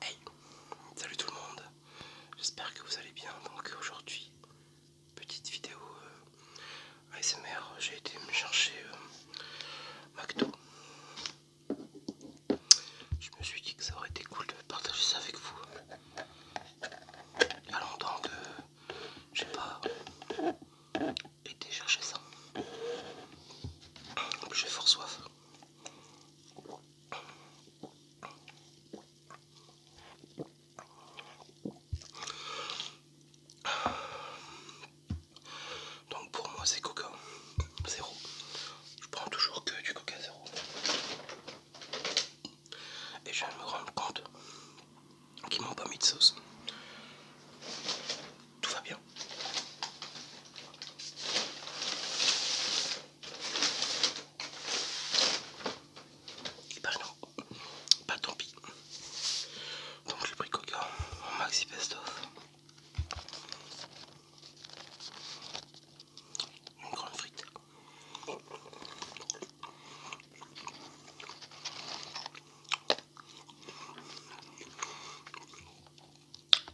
Hey, salut tout le monde, j'espère que vous allez bien. Donc aujourd'hui, petite vidéo euh, ASMR, j'ai été me chercher euh, McDo. Je me suis dit que ça aurait été cool de partager ça avec vous. Il y a longtemps que j'ai pas été chercher ça. J'ai fort soif. Donc pour moi c'est coca zéro. Je prends toujours que du coca zéro. Et je viens de me rendre compte qu'ils m'ont pas mis de sauce. Tout va bien. Bah non, bah tant pis. Donc j'ai pris Coca maxi pesto, Une grande frite.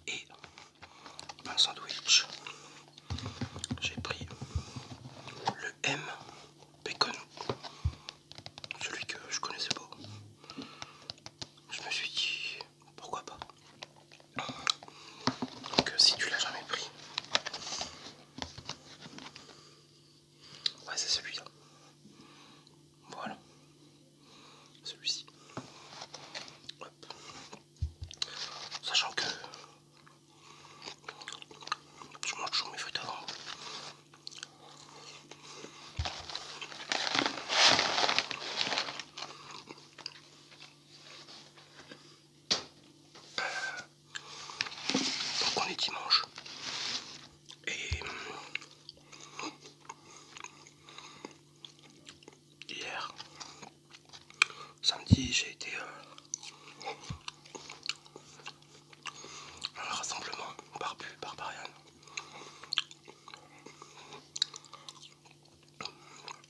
Et un sandwich. J'ai pris le M bacon, celui que je connaissais pas. Je me suis dit pourquoi pas. Donc si tu l'as jamais pris, ouais c'est celui-là. Voilà, celui-ci. Hop. Sachant que je mange toujours mes feuilles avant. Donc on est dimanche et hier. Samedi, j'ai été euh, à un rassemblement barbu, barbarian.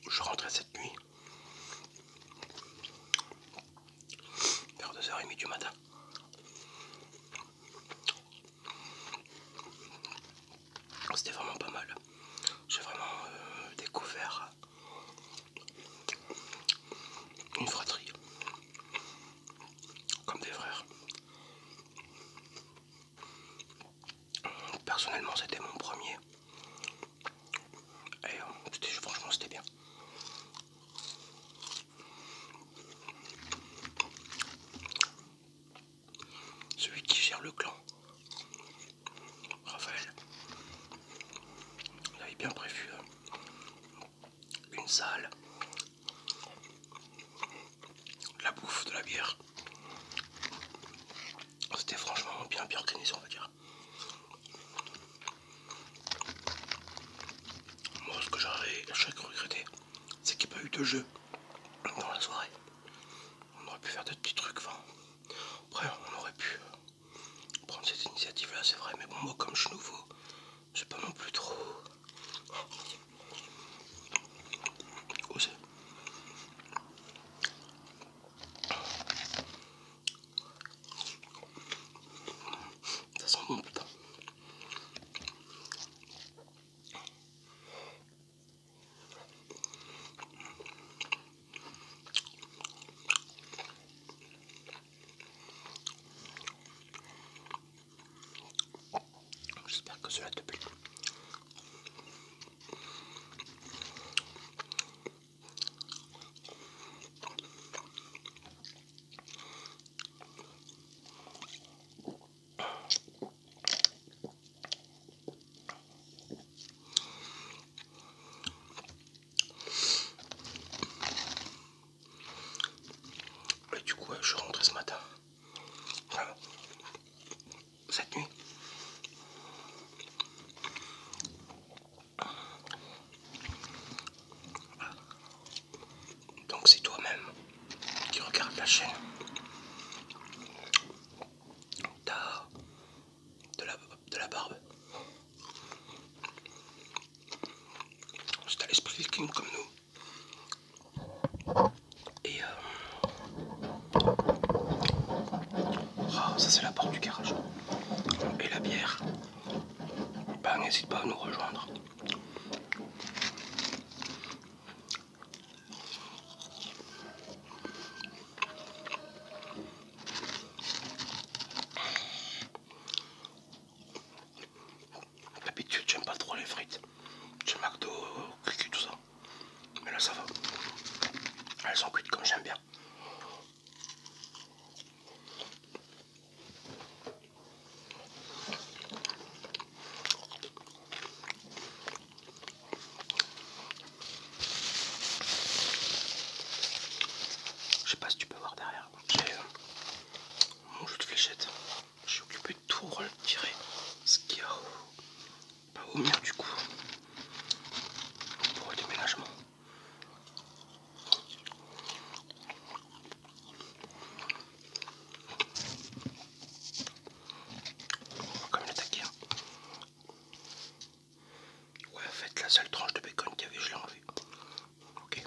Je rentrais cette nuit vers 2h30 du matin. C'était vraiment pas mal. J'ai vraiment euh, découvert euh, une fratrie comme des frères. Personnellement, c'était mon premier. Et euh, franchement, c'était bien celui qui gère le clan. Raphaël, il avait bien prévu euh, une salle, la bouffe, de la bière. C'était franchement bien, bien organisé, on va dire. Moi, ce que j'aurais regretté, c'est qu'il n'y a pas eu de jeu dans la soirée on aurait pu faire des petits trucs. Enfin, après, on aurait pu euh, prendre cette initiative-là, c'est vrai. Mais bon, moi, comme je suis nouveau, c'est pas non plus trop osé. Oh, Ça sent bon, J'espère que cela te plaît. Et du coup, je rentre ce matin. Cette nuit. Donc c'est toi-même qui regarde la chaîne T'as de la, barbe. C'est à l'esprit viking comme nous. Et euh, ah, ça c'est la porte du garage. Et la bière. Bah, n'hésite pas à nous rejoindre. D'habitude, j'aime pas trop les frites. J'ai McDo, tout ça. Mais là, ça va. Elles sont cuites comme j'aime bien. Je sais pas si tu peux voir derrière. mon jeu de fléchette. Je suis occupé de tout retirer ce qu'il y a au, bah, au du coup pour le déménagement. On va quand l'attaquer. Hein. Ouais, en fait, la seule tranche de bacon qu'il y avait, je l'ai enlevée. Ok.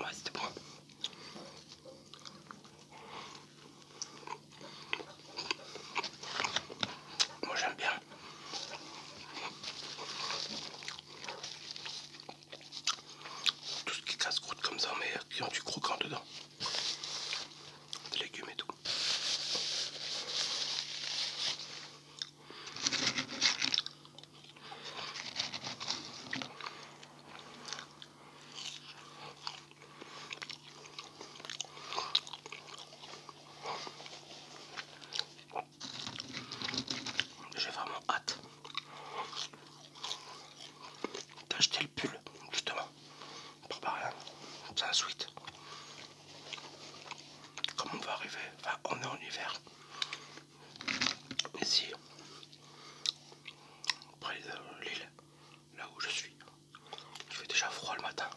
Ouais, c'était bon. Moi j'aime bien. Tout ce qui casse croûte comme ça, mais qui ont du croquant dedans. Des légumes et tout. J'ai vraiment hâte d'acheter le pull justement pour rien Ça un sweat Comment on va arriver enfin on est en hiver ici, près de euh, l'île, là où je suis, il fait déjà froid le matin.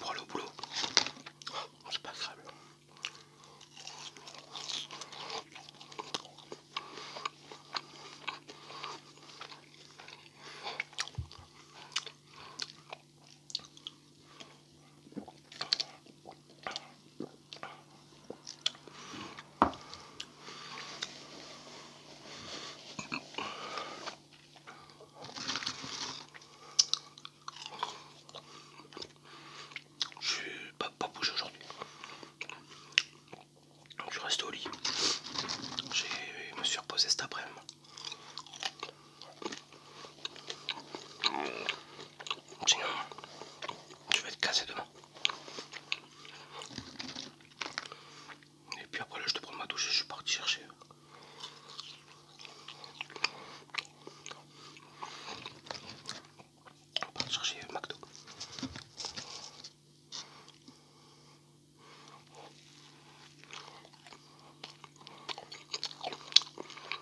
Pour aller au boulot, oh, c'est pas grave je pas, pas bouger aujourd'hui. je reste au lit. Je me suis reposé cet après-midi. Sinon, je vais être cassé demain. Et puis après là, je te prends ma douche et je suis parti chercher. chercher McDo.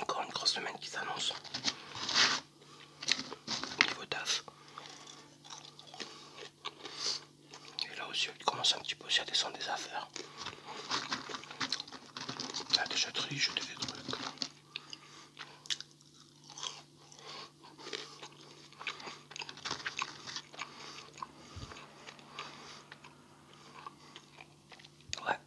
Encore une grosse semaine qui s'annonce. Niveau taf. Et là aussi, il commence un petit peu aussi à descendre des affaires. La déchetterie, jeter des trucs. Ouais.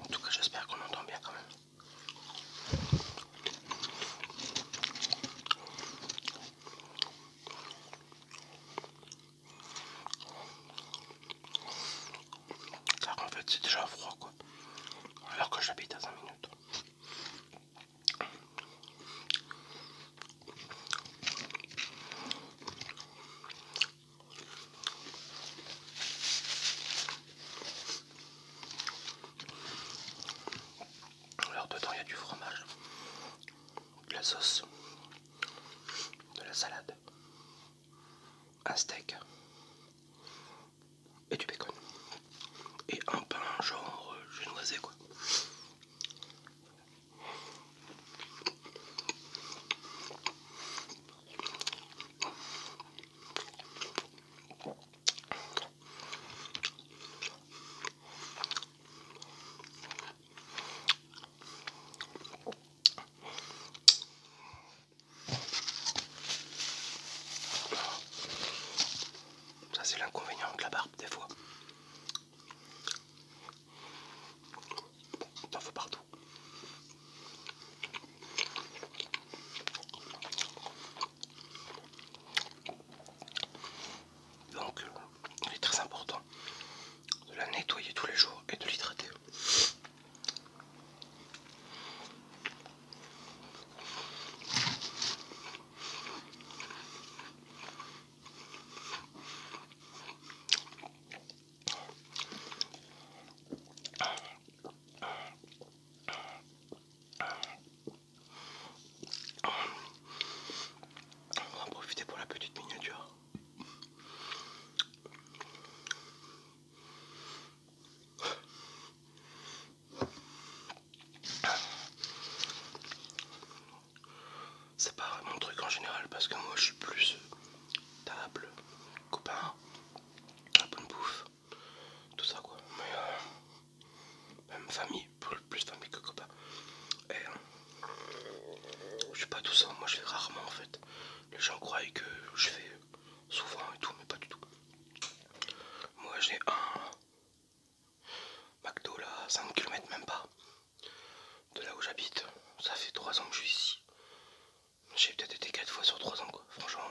En tout cas, j'espère qu'on entend bien quand même. Car en fait c'est déjà froid quoi. Alors que j'habite à 5 minutes. Alors dedans il y a du fromage, de la sauce, de la salade un steak et du bacon et un pain genre euh, sais quoi. Ça c'est l'inconvénient de la barbe des fois. T'en faut partout. Donc elle euh, est très important de la nettoyer tous les jours et de l'hydrater. On va profiter pour la petite miniature. C'est pas mon truc en général parce que moi je suis plus euh, table, copain, bonne bouffe, tout ça quoi. Mais euh, même famille, plus famille que copain. Euh, je suis pas tout ça, moi je vais rarement en fait. Les gens croient que je fais souvent et tout, mais pas du tout. Moi j'ai un McDo là, 5 km même pas. De là où j'habite, ça fait 3 ans que je suis ici. J'ai peut-être été 4 fois sur 3 ans franchement.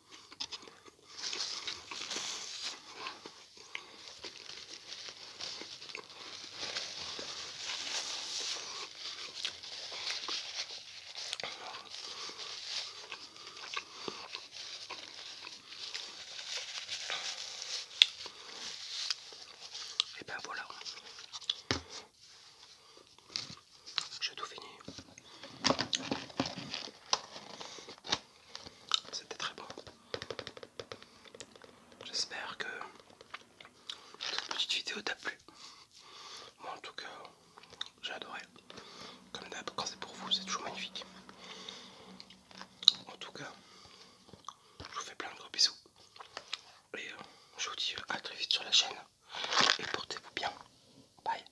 Et ben voilà, je tout fini. C'était très bon. J'espère que cette petite vidéo t'a plu. Moi en tout cas, j'ai adoré. Comme d'hab, quand c'est pour vous, c'est toujours magnifique. En tout cas, je vous fais plein de gros bisous. Et euh, je vous dis à très vite sur la chaîne. Et portez-vous bien. Bye.